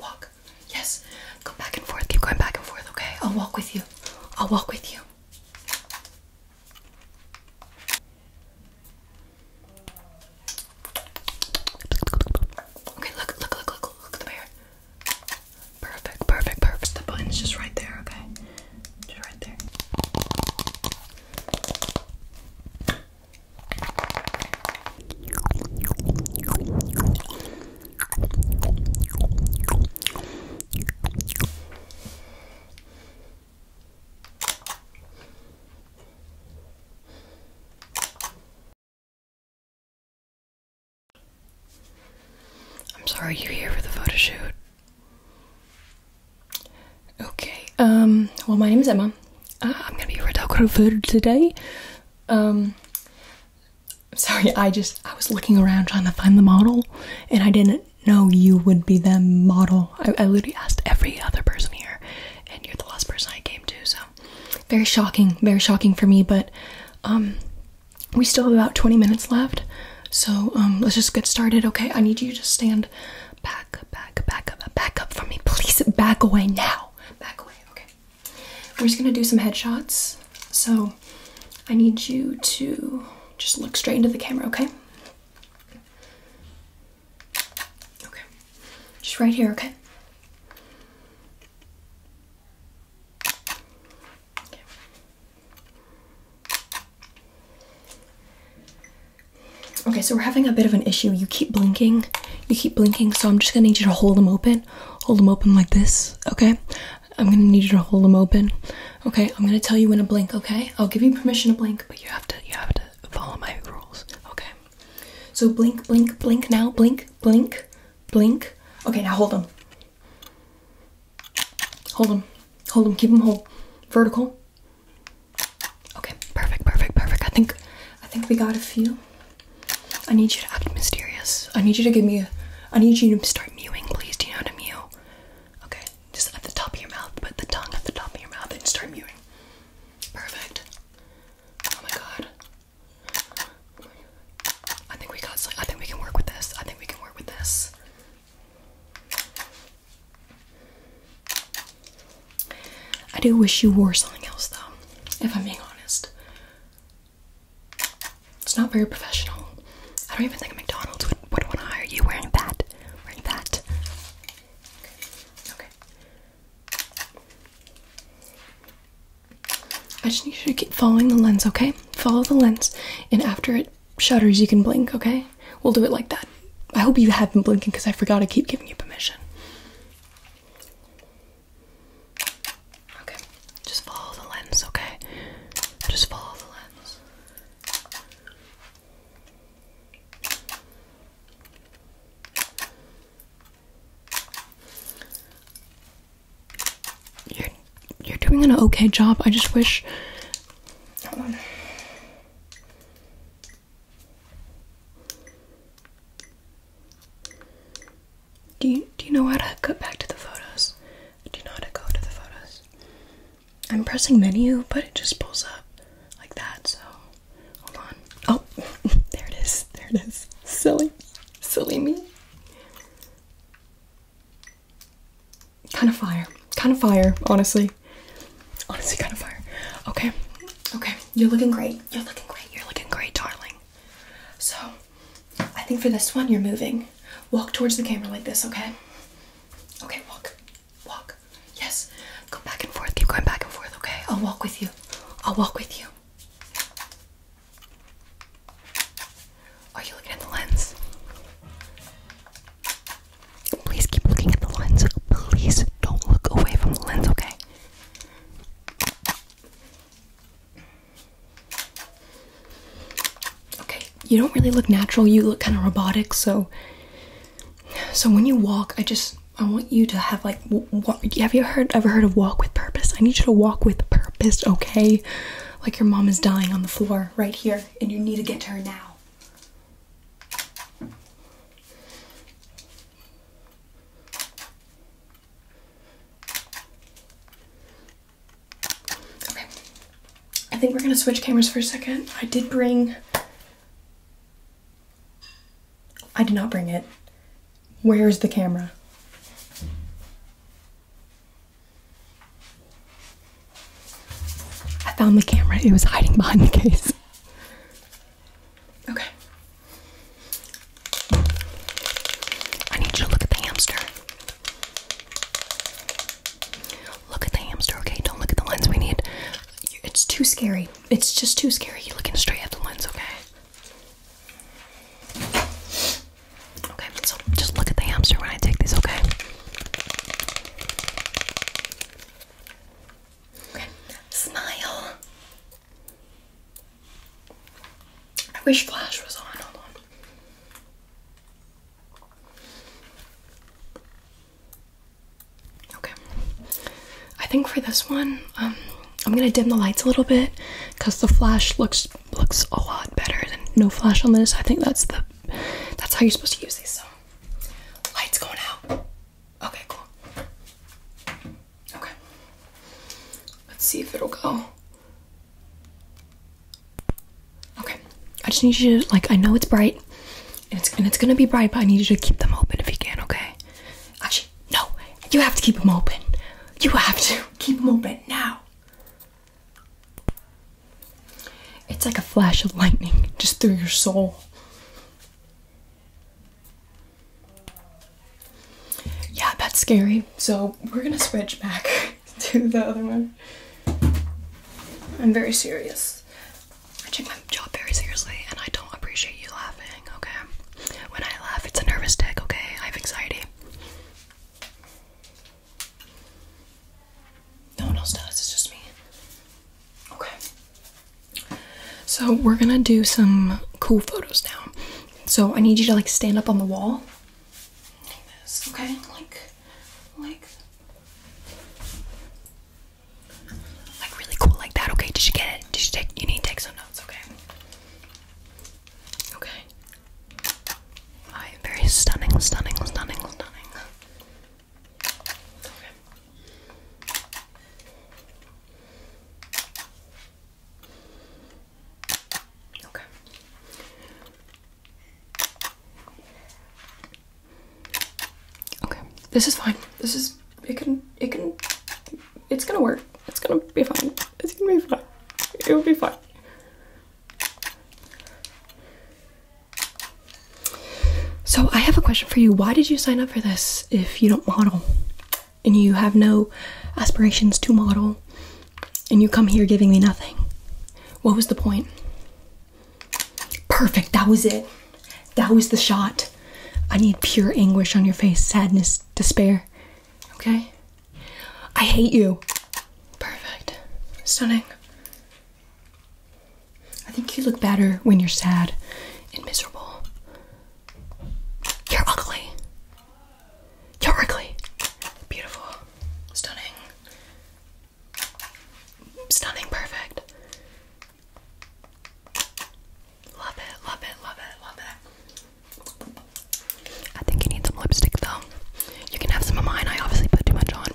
Walk. Yes. Go back and forth. Keep going back and forth, okay? I'll walk with you. I'll walk with you. Okay, look, look, look, look, look, at the mirror. Perfect, perfect, perfect. The button's just right there, okay? Just right there. I'm sorry you're here for the photo shoot. Okay, um, well, my name is Emma. Uh, I'm gonna be a red your photographer today. Um, sorry, I just I was looking around trying to find the model, and I didn't know you would be the model. I, I literally asked every other person here, and you're the last person I came to. So, very shocking, very shocking for me. But um, we still have about 20 minutes left, so um, let's just get started. Okay, I need you to stand back, back, back up, back up for me, please. Back away now. Back away. Okay. We're just gonna do some headshots. So I need you to just look straight into the camera, okay? Okay. Just right here, okay? okay. Okay, so we're having a bit of an issue. You keep blinking you keep blinking, so I'm just gonna need you to hold them open. Hold them open like this, okay? I'm gonna need you to hold them open. Okay, I'm gonna tell you when to blink, okay? I'll give you permission to blink, but you have to you have to follow my rules, okay? So blink, blink, blink now, blink, blink, blink. Okay, now hold them. Hold them. Hold them, keep them hold. Vertical. Okay, perfect, perfect, perfect. I think I think we got a few. I need you to act mysterious. I need you to give me. A, I need you to start mewing, please. Do you know how to mew? Okay, just at the top of your mouth. Put the tongue at the top of your mouth and start mewing. Perfect. Oh my god. I think we got. I think we can work with this. I think we can work with this. I do wish you wore something else though, if I'm being honest. It's not very professional. I don't even think McDonald's would, would want to hire you wearing that. Wearing that. Okay. I just need you to keep following the lens, okay? Follow the lens, and after it shudders, you can blink, okay? We'll do it like that. I hope you have been blinking because I forgot to keep giving you permission. Okay, just follow the lens, okay? Just follow the lens. You're you're doing an okay job. I just wish. Do you, do you know how to go back to the photos? Do you know how to go to the photos? I'm pressing menu, but it just pulls up like that, so hold on. Oh, there it is. There it is. Silly. Silly me. Kind of fire. Kind of fire, honestly. Honestly, kind of fire. Okay. Okay. You're looking great. You're looking great. You're looking great, darling. So, I think for this one, you're moving. Walk towards the camera like this, okay? Okay, walk. Walk. Yes. Go back and forth. Keep going back and forth, okay? I'll walk with you. I'll walk with you. Are you looking at the lens? Please keep looking at the lens. Please don't look away from the lens, okay? Okay, you don't really look natural. You look kind of robotic. So, so when you walk, I just I want you to have like. have you heard ever heard of walk with purpose? I need you to walk with purpose. Okay, like your mom is dying on the floor right here, and you need to get to her now. Okay, I think we're gonna switch cameras for a second. I did bring. I did not bring it. Where's the camera? I found the camera, it was hiding behind the case. Okay. I need you to look at the hamster. Look at the hamster, okay? Don't look at the lens. We need. It's too scary. It's just too scary. You're looking straight at the lens, okay? Okay, so just look at the hamster when I take this, okay? Smile. I wish Flash was on. Hold on. Okay. I think for this one, um, I'm gonna dim the lights a little bit because the flash looks looks a lot better than no flash on this. I think that's the that's how you're supposed to use these. So, lights going out. Okay, cool. Okay. Let's see if it'll go. Okay. I just need you to like I know it's bright. And it's and it's gonna be bright, but I need you to keep them open if you can, okay? Actually, no, you have to keep them open. You have to keep them open now. It's like a flash of lightning just through your soul. Yeah, that's scary. So we're gonna switch back to the other one. I'm very serious. I take my job very seriously, and I don't appreciate you laughing, okay? When I laugh, it's a nervous tick, okay? I have anxiety. No one else does, it's just me. Okay. So we're gonna do some cool photos now. So I need you to like stand up on the wall. Like okay? Like, like, like really cool, like that. Okay, did you get it? Did you take? You need to take some notes, okay? Okay. I am very stunning, stunning, stunning, stunning. Okay. okay. Okay. This is fine. This is it can it can it's gonna work. It's gonna be fine. It's gonna be fine. It will be fine. So, I have a question for you. Why did you sign up for this if you don't model and you have no aspirations to model and you come here giving me nothing? What was the point? Perfect. That was it. That was the shot. I need pure anguish on your face, sadness, despair. Okay? I hate you. Perfect. Stunning. I think you look better when you're sad and miserable. You're ugly. You're ugly. Beautiful. Stunning. Stunning, perfect. Love it, love it, love it, love it. I think you need some lipstick though. You can have some of mine. I obviously put too much on.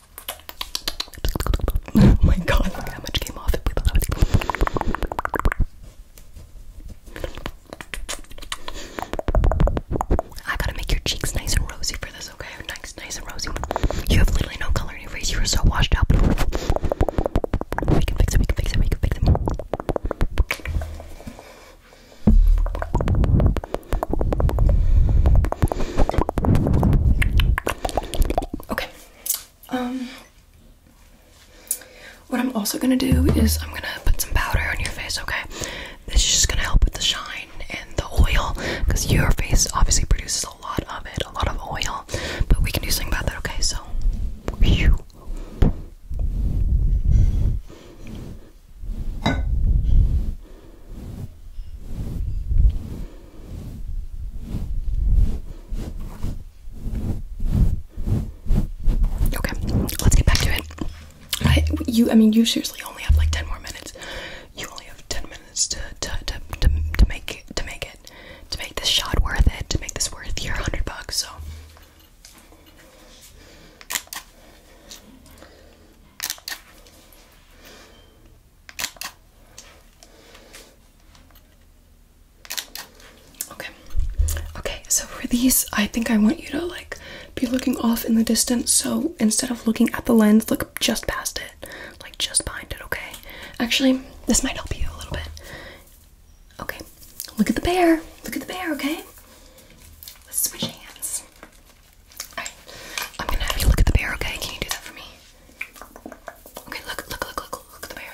oh my god, look how much came off it. I gotta make your cheeks nice and rosy for this, okay? Nice, nice and rosy. You have literally no color in your face. You are so washed out. We can fix it, we can fix it, we can fix it. Okay. Um what I'm also gonna do is I'm gonna put some powder on your face, okay? This is just gonna help with the shine and the oil because your face obviously produces a lot of it, a lot of oil. But we can do something about that, okay? So Okay, let's get back to it. I, you, I mean, you seriously only have like ten more minutes. You only have ten minutes to to to to, to make to make it to make this shot worth it to make this worth your hundred bucks. So. Okay. Okay, so for these, I think I want you to like be looking off in the distance. So instead of looking at the lens, look just past it, like just behind it, okay? Actually, this might help you a little bit. Okay, look at the bear. Look at the bear, okay? Let's switch hands. Alright, I'm gonna have you look at the bear, okay? Can you do that for me? Okay, look, look, look, look, look at the bear.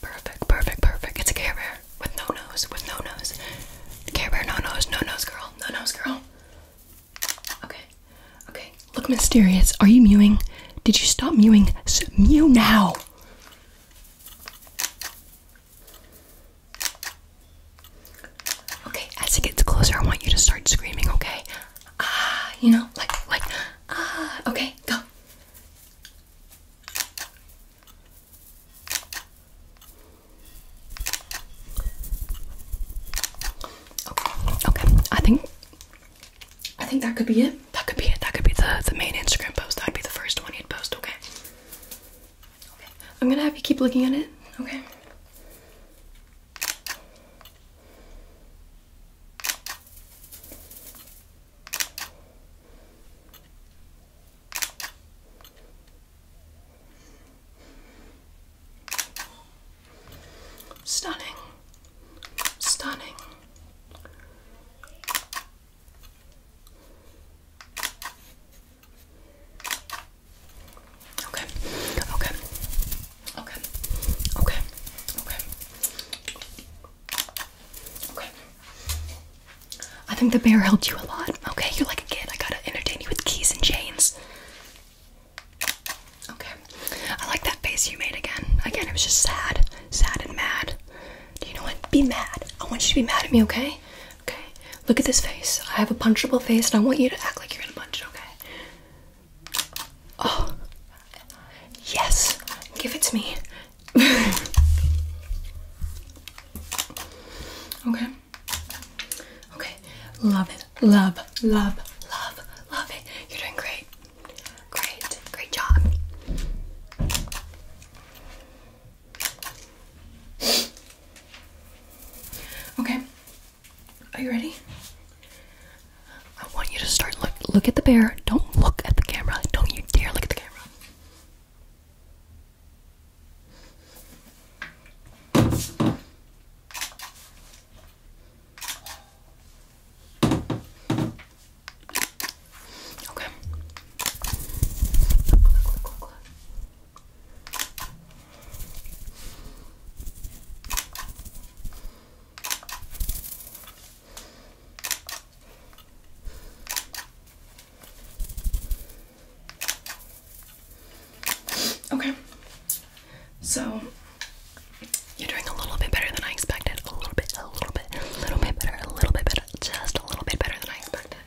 Perfect, perfect, perfect. It's a Care Bear with no nose, with no nose. Care Bear, no nose, no nose, girl, no nose, girl. Okay, okay. Look mysterious. Are you mewing? Did you stop mewing? So, mew now. Okay, as it gets closer, I want you to start screaming, okay? Ah, you know, like, like, ah, okay, go. Okay, I think, I think that could be it. That could be it. That could be the, the main Instagram post. That'd be the first one he would post, okay? I'm gonna have you keep looking at it, okay? Stunning. Stunning. Okay. Okay. Okay. Okay. Okay. Okay. I think the bear helped you a lot. Okay, you're like a kid. I gotta entertain you with keys and chains. Okay. I like that face you made again. Again, it was just sad. Sad and mad. Do you know what? Be mad. I want you to be mad at me, okay? Okay, look at this face. I have a punchable face, and I want you to act like you're gonna punch it. Okay. Oh, yes. Give it to me. okay. Okay. Love it. Love. Love. Love. Love it. You're doing great. Great. Great job. Okay. Are you ready? I want you to start look look at the bear. Don't look at the camera. Don't you dare look at the camera. Okay. Okay. So you're doing a little bit better than I expected. A little bit, a little bit, a little bit better, a little bit better, just a little bit better than I expected.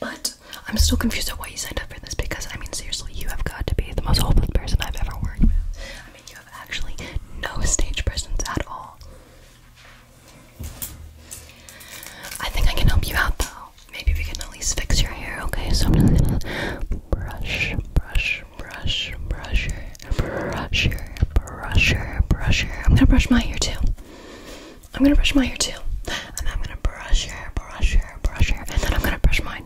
But this. I'm still confused at why you signed up for this because I mean seriously, you have got to be the most hopeless person I've ever worked with. I mean you have actually no stage presence at all. I think I can help you out though. Maybe we can at least fix your hair, okay? So I'm just gonna brush, brush, brush, brush, brush, brush, brush. I'm gonna brush my hair too. I'm gonna brush my hair too. And I'm gonna brush your hair, brush your hair, brush your hair, and then I'm gonna brush mine.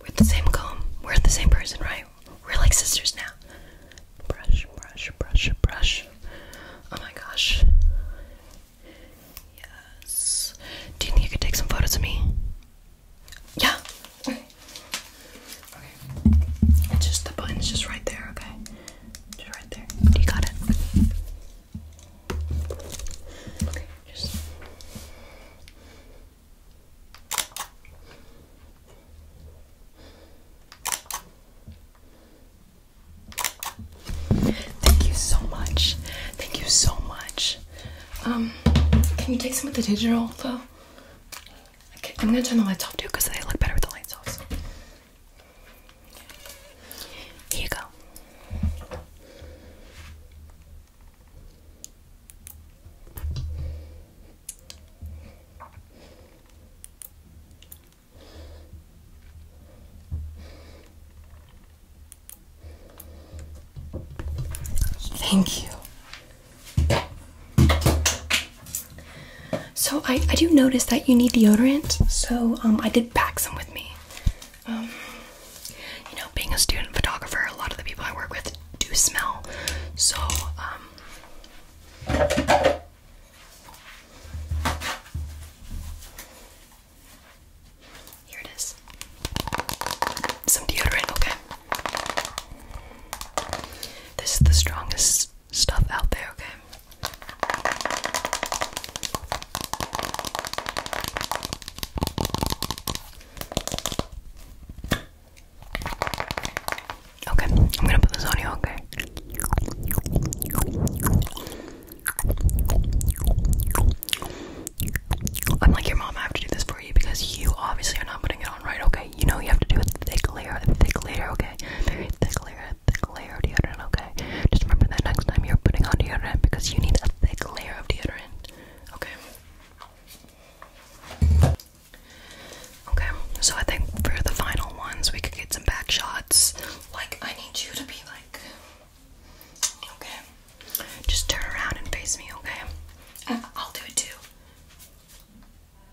We're the same comb. We're the same person, right? We're like sisters now. Brush, brush, brush, brush. Oh my gosh. Yes. Do you think you could take some photos of me? Yeah. Okay. Okay. It's just the button's just right there, okay? Just right there. You got it. Thank you so much. Thank you so much. Um, can you take some of the digital though? I'm gonna turn the lights off too because they look better with the lights off. Here you go. Thank you. So I, I do notice that you need deodorant, so um, I did pack some with me. Um, you know, being a student photographer, a lot of the people I work with do smell, so um, here it is. Some deodorant, okay. This is the strongest stuff out there, okay? Okay, I'm gonna put this on you, okay? I'm like your mom, I have to do this for you because you obviously are not putting it on right, okay? You know you have to do a thick layer, a thick layer, okay? Very thick layer, thick layer of deodorant, okay? Just remember that next time you're putting on deodorant because you need a thick layer of deodorant, okay? Okay, so I think for the final ones, we could get some back shots. Like, I need you to be like, okay? Just turn around and face me, okay? I'll do it too.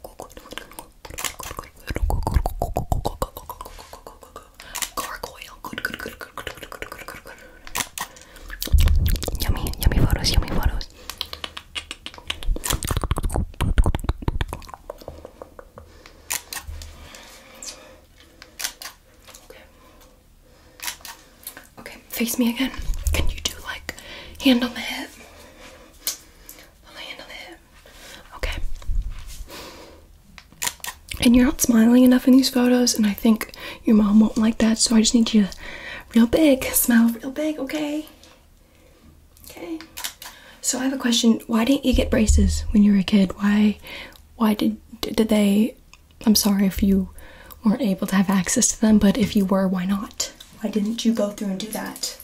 Gargoyle. Good, good, good, good, good, good, good, good, good, good. Yummy, yummy photos, yummy photos. Okay. Okay, face me again. Can you do like hand on the hip? On the Okay. And you're not smiling enough in these photos, and I think your mom won't like that, so I just need you to real big, smile real big, okay? Okay. So I have a question. Why didn't you get braces when you were a kid? Why why did did they I'm sorry if you weren't able to have access to them, but if you were, why not? Why didn't you go through and do that?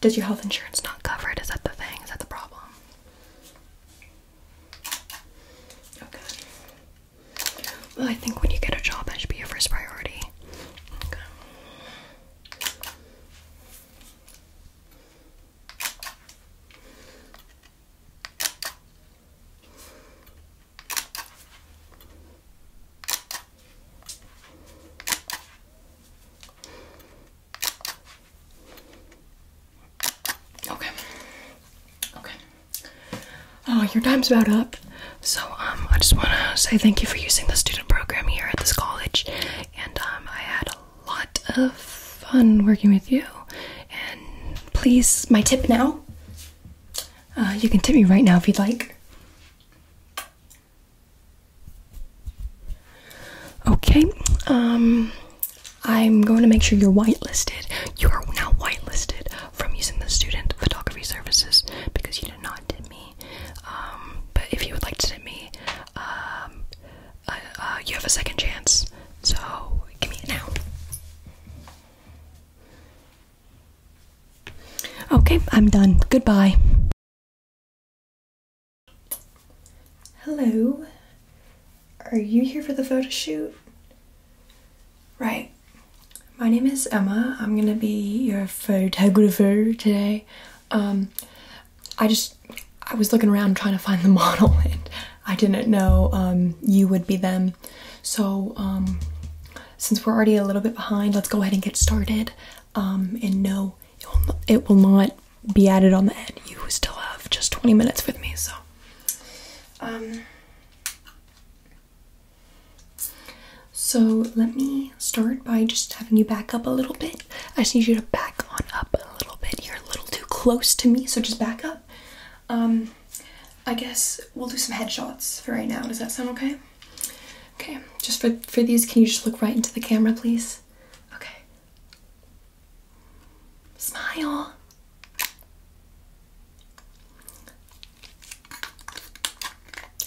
Does your health insurance not cover it? Is that the thing? Is that the problem? Okay. Well, I think when you get a job, that should be your first priority. Okay. Okay. Okay. Oh, your time's about up. So, um, I just want to say thank you for using the student program here at this college. And, um, I had a lot of fun working with you. And please, my tip now uh, you can tip me right now if you'd like. Okay, um, I'm going to make sure you're whitelisted. You are now whitelisted from using the student photography services because you did not tip me. Um, but if you would like to tip me, um, uh, uh, you have a second chance. So give me it now. Okay, I'm done. Goodbye. Hello. Are you here for the photo shoot? Right. My name is Emma. I'm gonna be your photographer today. Um, I just I was looking around trying to find the model and I didn't know um, you would be them so, um, since we're already a little bit behind, let's go ahead and get started. Um, and no, it will not, be added on the end. You still have just 20 minutes with me, so. Um, so, let me start by just having you back up a little bit. I just need you to back on up a little bit. You're a little too close to me, so just back up. Um, I guess we'll do some headshots for right now. Does that sound okay? Okay, just for for these, can you just look right into the camera, please? Okay. Smile.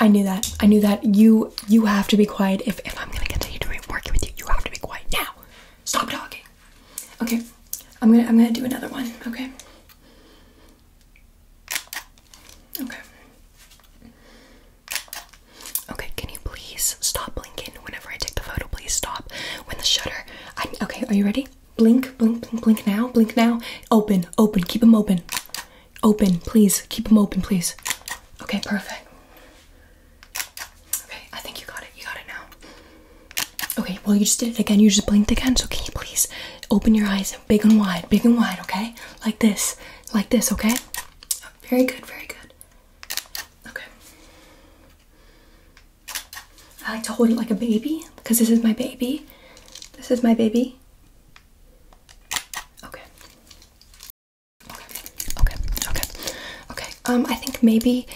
I knew that. I knew that. You you have to be quiet. If if I'm gonna continue doing working with you, you have to be quiet now. Stop talking. Okay. I'm gonna I'm gonna do another one. Okay. Okay. Okay, can you please stop blinking whenever I take the photo? Please stop. When the shutter. okay, are you ready? Blink, blink, blink, blink now, blink now. Open, open, keep them open. Open, please, keep them open, please. Okay, perfect. Okay, I think you got it. You got it now. Okay, well, you just did it again. You just blinked again. So, can you please open your eyes big and wide, big and wide, okay? Like this, like this, okay? very good, very good. Okay. I like to hold it like a baby because this is my baby. This is my baby. Okay. Okay, okay, okay. Okay, um, I think maybe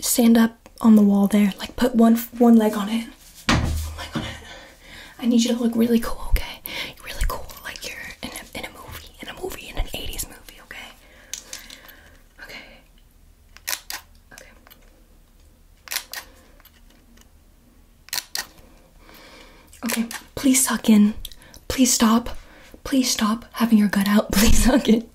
stand up on the wall there. Like put one one leg on it. I need you to look really cool, okay? You're really cool, like you're in a movie, in a movie, in an '80s movie, okay? Okay. Okay. Okay, please suck in. Please stop. Please stop having your gut out. Please suck in.